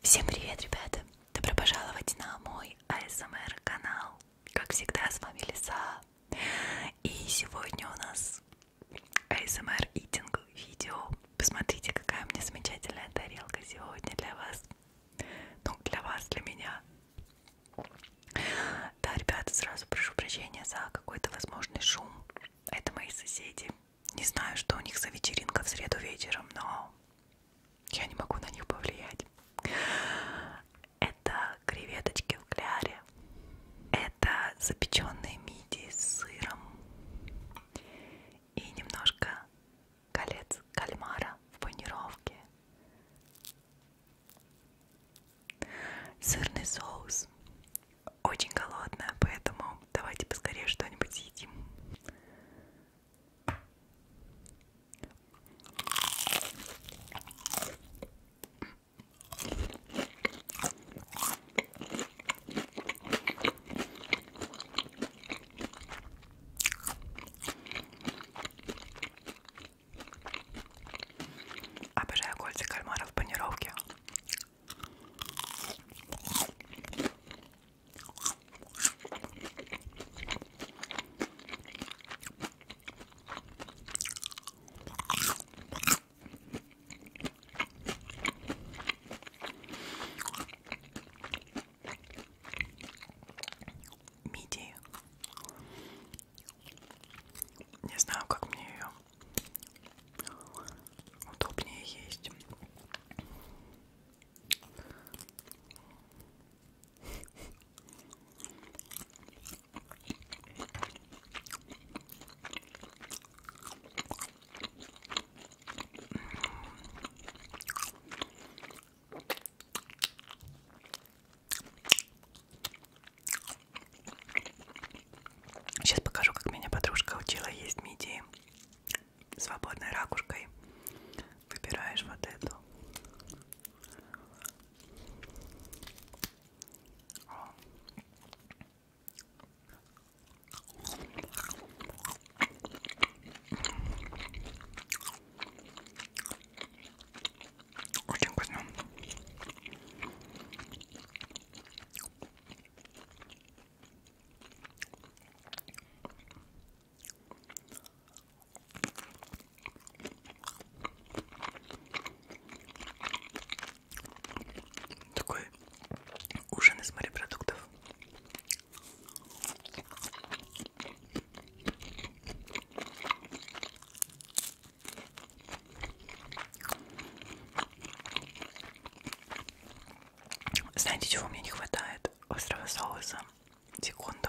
Всем привет, ребята! Добро пожаловать на мой АСМР канал. Как всегда, с вами Лиса. И сегодня у нас АСМР итинг видео. Посмотрите, какая у меня замечательная тарелка сегодня для вас. Ну, для вас, для меня. Да, ребята, сразу прошу прощения за какой-то возможный шум. Это мои соседи. Не знаю, что у них за вечеринка в среду вечером, но я не могу на них повлиять. Это креветочки в кляре. Это запеченные мидии с сыром. И немножко колец кальмара в панировке. Сырный соус. Очень голодная, поэтому давайте поскорее что-нибудь съедим. Обожаю кольца кальмара в панировке. Мидии. Не знаю, как мне ее удобнее есть. Сейчас покажу, как меня подружка учила есть мидии свободной ракушкой выбираешь вот эту. Очень вкусно. Такой ужин из морепродуктов. Знаете, чего мне не хватает? Острого соуса. Секунду.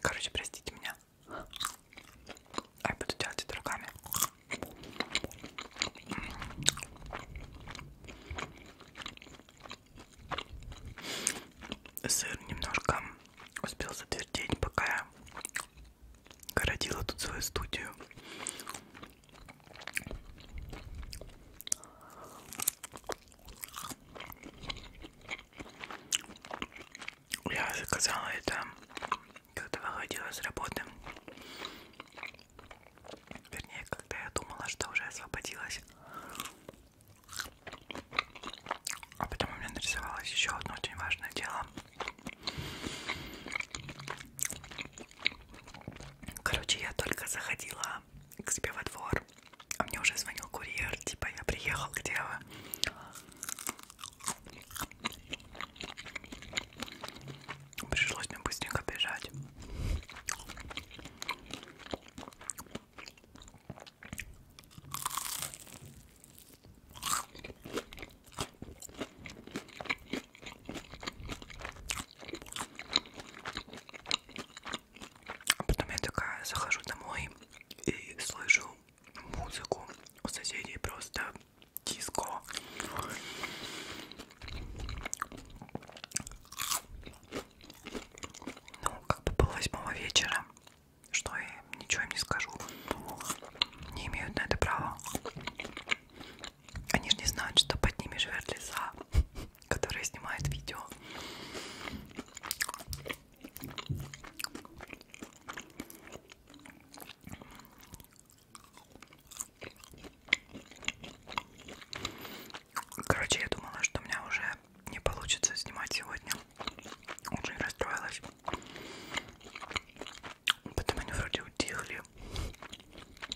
Короче, простите меня. А я буду делать это руками. Сыр немножко успел затвердеть, пока я городила тут свою студию. Я заказала это, когда выходила с работы. Вернее, когда я думала, что уже освободилась. А потом у меня нарисовалось еще одно очень важное дело. Короче, я только заходила к себе во двор. А мне уже звонил курьер, типа я приехал, где вы? Пришлось мне быстренько бежать. А потом я такая захожу домой и слышу музыку у соседей просто диско. Ну, как бы было восьмого вечера, что я ничего им не скажу. Не имеют на это права. Они же не знают, что под ними живет лиса, которая снимает видео. Короче, я думала, что у меня уже не получится снимать сегодня. Очень расстроилась. Потом они вроде утихли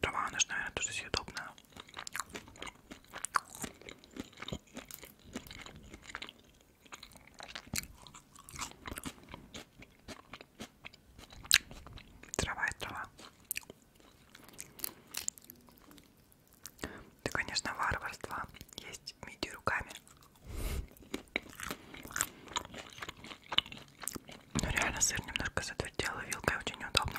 Трава, она же, наверное, тоже съедобная. Трава и трава. Да, конечно, варварство есть миди руками. Но реально сыр немножко затвердел, и вилкой очень неудобно.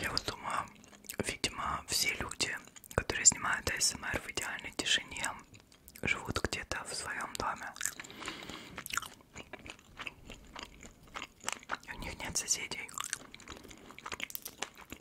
Я вот думаю, видимо, все люди, которые снимают АСМР эм в идеальной тишине, живут где-то в своем доме. И у них нет соседей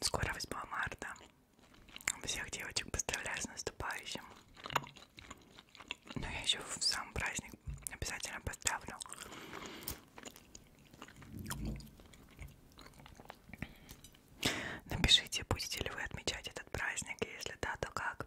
Скоро 8 марта. Всех девочек поздравляю с наступающим. Но я еще в сам праздник обязательно поздравлю. Напишите, будете ли вы отмечать этот праздник, и если да, то как.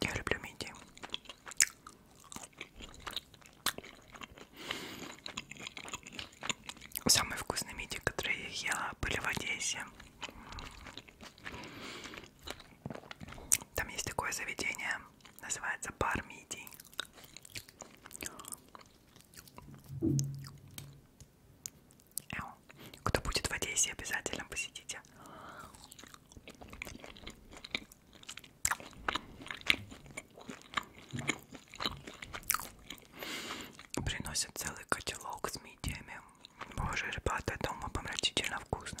Я люблю мидии. Самые вкусные мидии, которые я ела, были в Одессе. Там есть такое заведение, называется бар мидий. Кто будет в Одессе, обязательно посетите. Приносят целый котелок с мидиями. Боже, ребята, это умопомрачительно вкусно.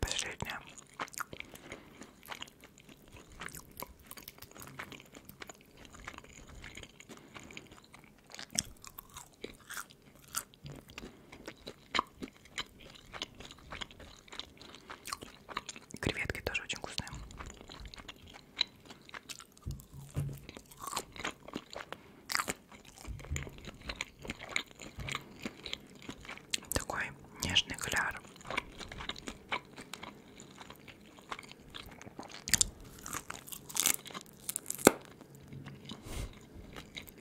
Последняя. Креветки тоже очень вкусные. Такой нежный кляр.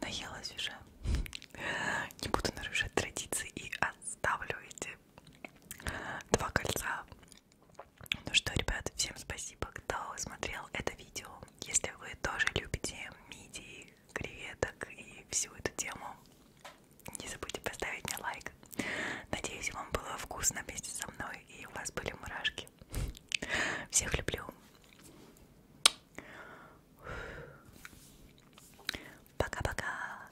Наелась уже. Не буду нарушать традиции и отставлю эти два кольца ну что, ребят, всем спасибо, кто смотрел это видео. Если вы тоже любите мидии, креветок и всю эту тему, не забудьте поставить мне лайк. Надеюсь, вам было вкусно вместе со мной и у вас были мурашки. Всех люблю. Пока-пока.